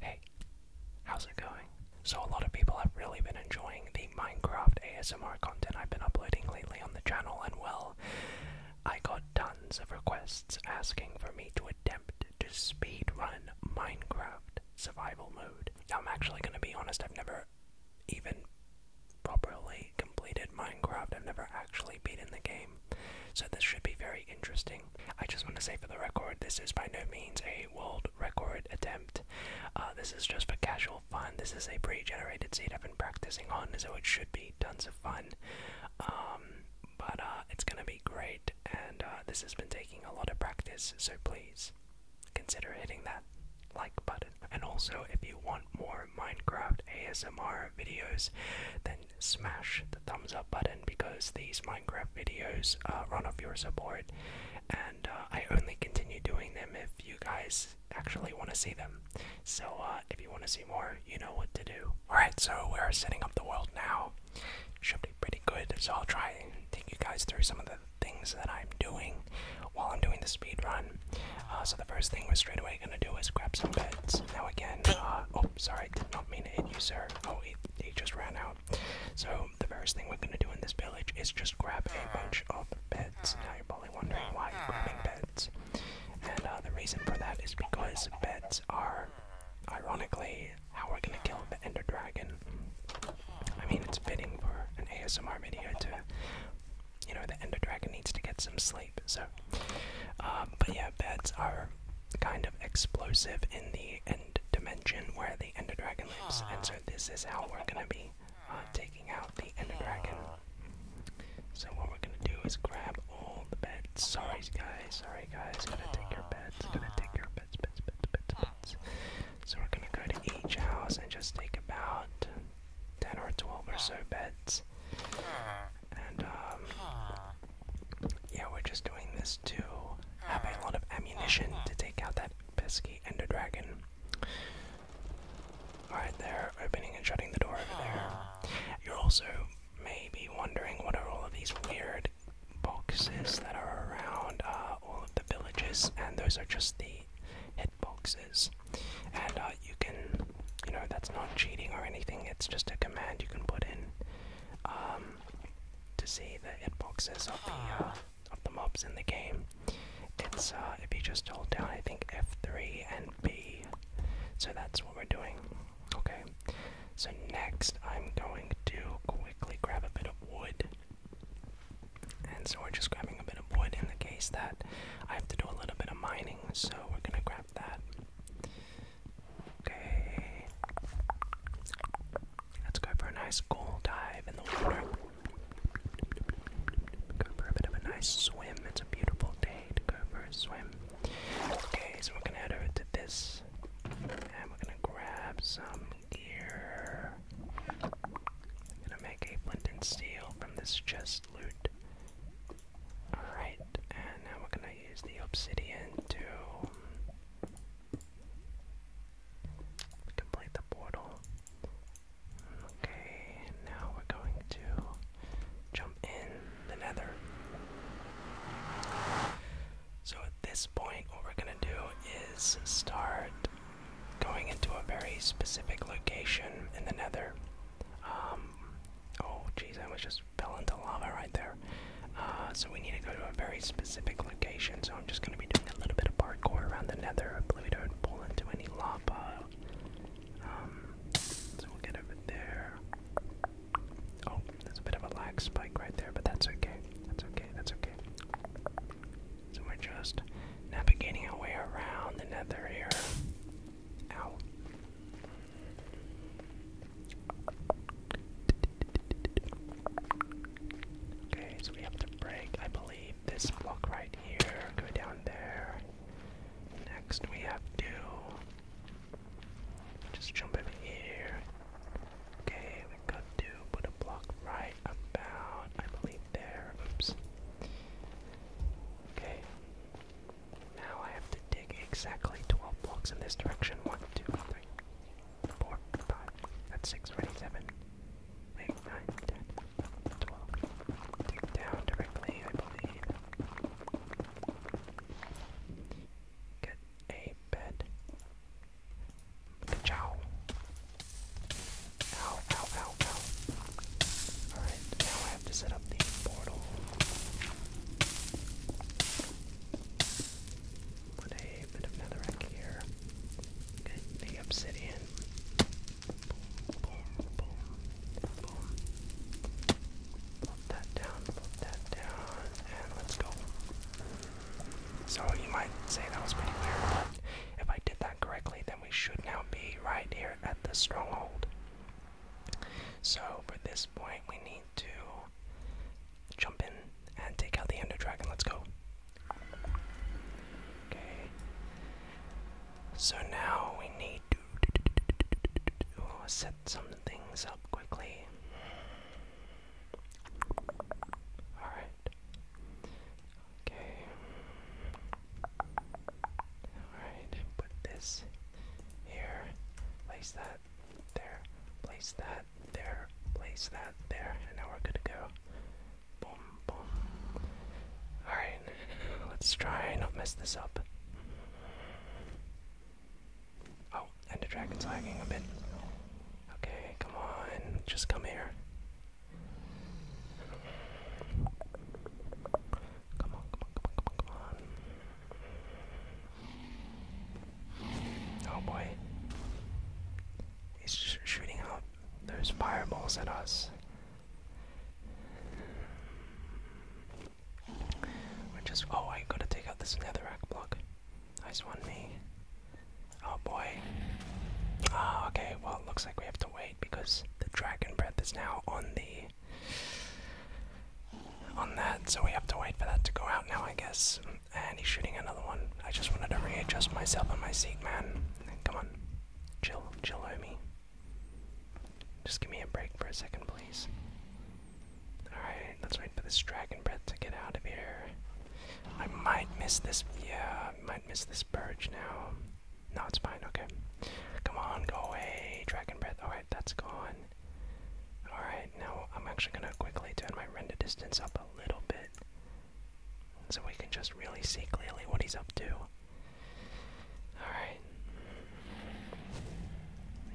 Hey, how's it going? So, a lot of people have really been enjoying the Minecraft ASMR content I've been uploading lately on the channel, and well, I got tons of requests asking for me to attempt to speedrun Minecraft survival mode. Now, I'm actually going to be honest, I've never even properly completed Minecraft. I've never actually beaten the game, so this should be very interesting. I just want to say for the record, this is by no means a world record attempt. Uh, this is just for casual fun. This is a pre-generated seed I've been practicing on, so it should be tons of fun. Um, but uh, it's gonna be great, and uh, this has been taking a lot of practice, so please consider hitting that like button. And also, if you want more Minecraft ASMR videos, then smash the thumbs up button because these Minecraft videos uh, run off your support, and uh, I only continue doing them if you guys actually want to see them. So, uh, if you want to see more, you know what to do. Alright, so we're setting up the world now. Should be pretty good, so I'll try and take you guys through some of the things that I'm doing while I'm doing the speed run. Uh, so the first thing we're straight away gonna do is grab some beds. Now again, uh, oh sorry, did not mean to hit you, sir. Oh, he just ran out. So the first thing we're gonna do in this village is just grab a bunch of beds. Now you're probably wondering why you're grabbing beds, and uh, the reason for that is because beds are, ironically, how we're gonna kill the Ender Dragon. I mean, it's fitting for an ASMR video to you know, the Ender Dragon needs to get some sleep. So, um, but yeah, beds are kind of explosive in the End Dimension where the Ender Dragon lives, and so this is how we're gonna be uh, taking out the Ender Dragon. So what we're gonna do is grab all the beds. Sorry guys, sorry guys, gotta take your beds, gotta take your beds, beds, beds, beds, beds. So we're gonna go to each house and just take about 10 or 12 or so beds. And, um, yeah, we're just doing this to have a lot of ammunition to take out that pesky ender dragon. Alright, they're opening and shutting the door over there. You're also maybe wondering what are all of these weird boxes that are around uh, all of the villages, and those are just the hitboxes. And uh, you can, you know, that's not cheating or anything, it's just a command you can put in um, to see the hitboxes of the, uh, ah. of the mobs in the game. It's, uh, if you just hold down, I think F3 and B. So that's what we're doing. Okay, so next I'm going to quickly grab a bit of wood and so we're just grabbing a bit of wood in the case that I have to do a little bit of mining, so we're gonna grab that. Okay. Let's go for a nice gold dive in the water. Go for a bit of a nice swim. It's a beautiful day to go for a swim. Okay, so we're gonna head over to this and we're gonna grab some ear. I'm gonna make a flint and steel from this chest loot. Alright, and now we're gonna use the obsidian to complete the portal. Okay, now we're going to jump in the nether. So, this point, what we're gonna do is start going into a very specific location in the nether. Um, oh, jeez, I was just fell into lava right there. Uh, so we need to go to a very specific location, so I'm just gonna be doing a little bit of parkour around the nether. I believe we don't pull into any lava. Um, so we'll get over there. Oh, there's a bit of a lag spike right there, but that's okay. That's okay. That's okay. So we're just navigating our way around the net here. Ow. Okay, so we have to break, I believe, this block right here, go down there. Next, we have to just jump over here, Okay, we got to put a block right about, I believe, there. Oops. Okay. Now I have to dig exactly 12 blocks in this direction. 1, 2, 3, 4, 5. That's 6, right? 7, 8, 9, 10, 12. Dig down directly, I believe. Get a bed. Ciao. Ow, ow, ow, ow. Alright, now I have to set up the portal. Put a bit of netherrack here. Get the obsidian. Boom, boom, Put that down, put that down, and let's go. So you might say that was pretty weird, but if I did that correctly, then we should now be right here at the stronghold. So for this point, we need to jump in and take out the Ender Dragon. Let's go. Okay. So now we need to set set some things up quickly. Alright. Okay. Alright, put this here. Place that there. Place that there. Place that there. And now we're good to go. Boom, boom. Alright, let's try and not mess this up. Oh, and the dragon's lagging a bit. Okay, come on, just come here. Come on, come on, come on, come on, come on. Oh boy. He's just shooting out those fireballs at us we just. Oh, I gotta take out this netherrack block. Nice one, me. Oh boy. Ah, oh, okay, well, it looks like we have to wait because the dragon breath is now on the. On that, so we have to wait for that to go out now, I guess. And he's shooting another one. I just wanted to readjust myself on my seat, man. Come on. Chill, chill, homie. Just give me a break for a second, please. Alright, let's wait for this dragon breath to get out of here. I might miss this. Yeah, I might miss this purge now. No, it's fine. Okay. Come on, go away. Dragon breath. Alright, that's gone. Alright, now I'm actually going to quickly turn my render distance up a little bit so we can just really see clearly what he's up to. Alright.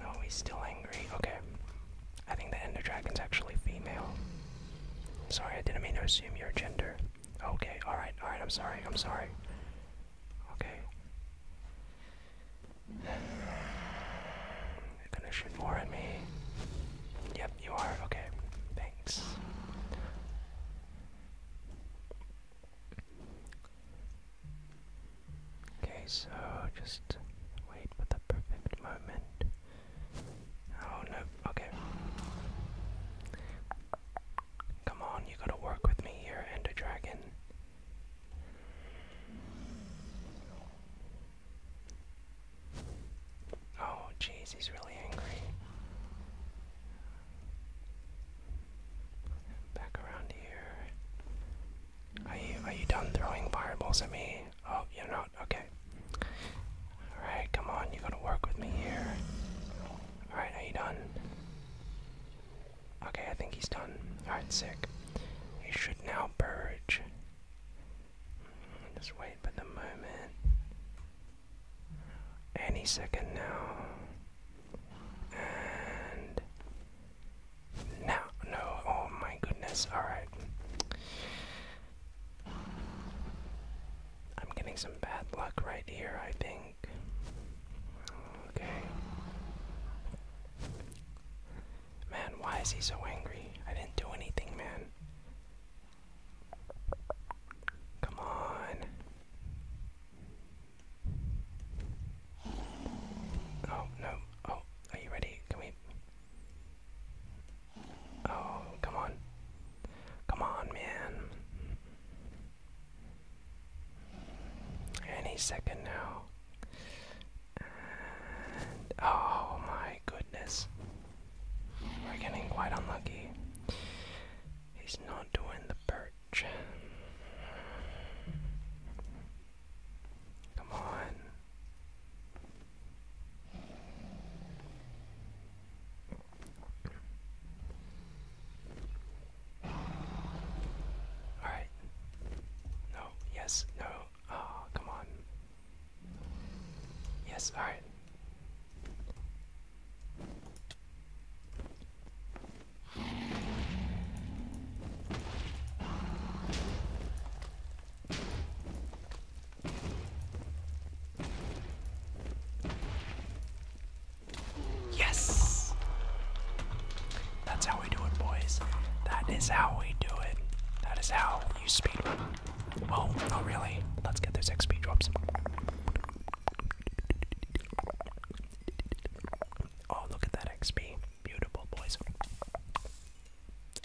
No, he's still angry. Okay. I think the Ender Dragon's actually female. Sorry, I didn't mean to assume your gender. Okay, alright, alright, I'm sorry, I'm sorry. Okay. You're gonna shoot more at me. Yep, you are. Okay, thanks. Okay, so just wait for the perfect moment. Oh no, okay. Come on, you gotta work with me here, Ender Dragon. Oh, jeez, he's really angry. Back around here. Are you are you done throwing fireballs at me? Oh, you're not. Okay. All right, come on. You are going to work with me here. All right, are you done? Okay, I think he's done. All right, sick. He should now purge. Hmm, just wait for the moment any second now. And now, no, oh my goodness, alright. I'm getting some bad luck right here, I think. Okay. Man, why is he so angry? I didn't do anything, man. Come on. Oh, no. Oh, are you ready? Can we? Oh, come on. Come on, man. Any second now. oh my goodness. We're getting quite unlucky. He's not doing the perch. Come on. Alright. No, yes, no. Oh, come on. Yes, alright. Yes! That's how we do it, boys. That is how we do it. That is how you speedrun. Oh, not really. Let's get those XP drops. Oh, look at that XP. Beautiful, boys.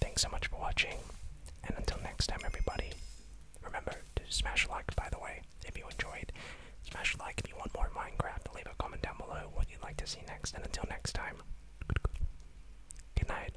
Thanks so much for watching. And until next time, everybody, remember to smash like, by the way, if you enjoyed. Smash like if you want more Minecraft. Leave a comment down below what you'd like to see next. And until next time, good night.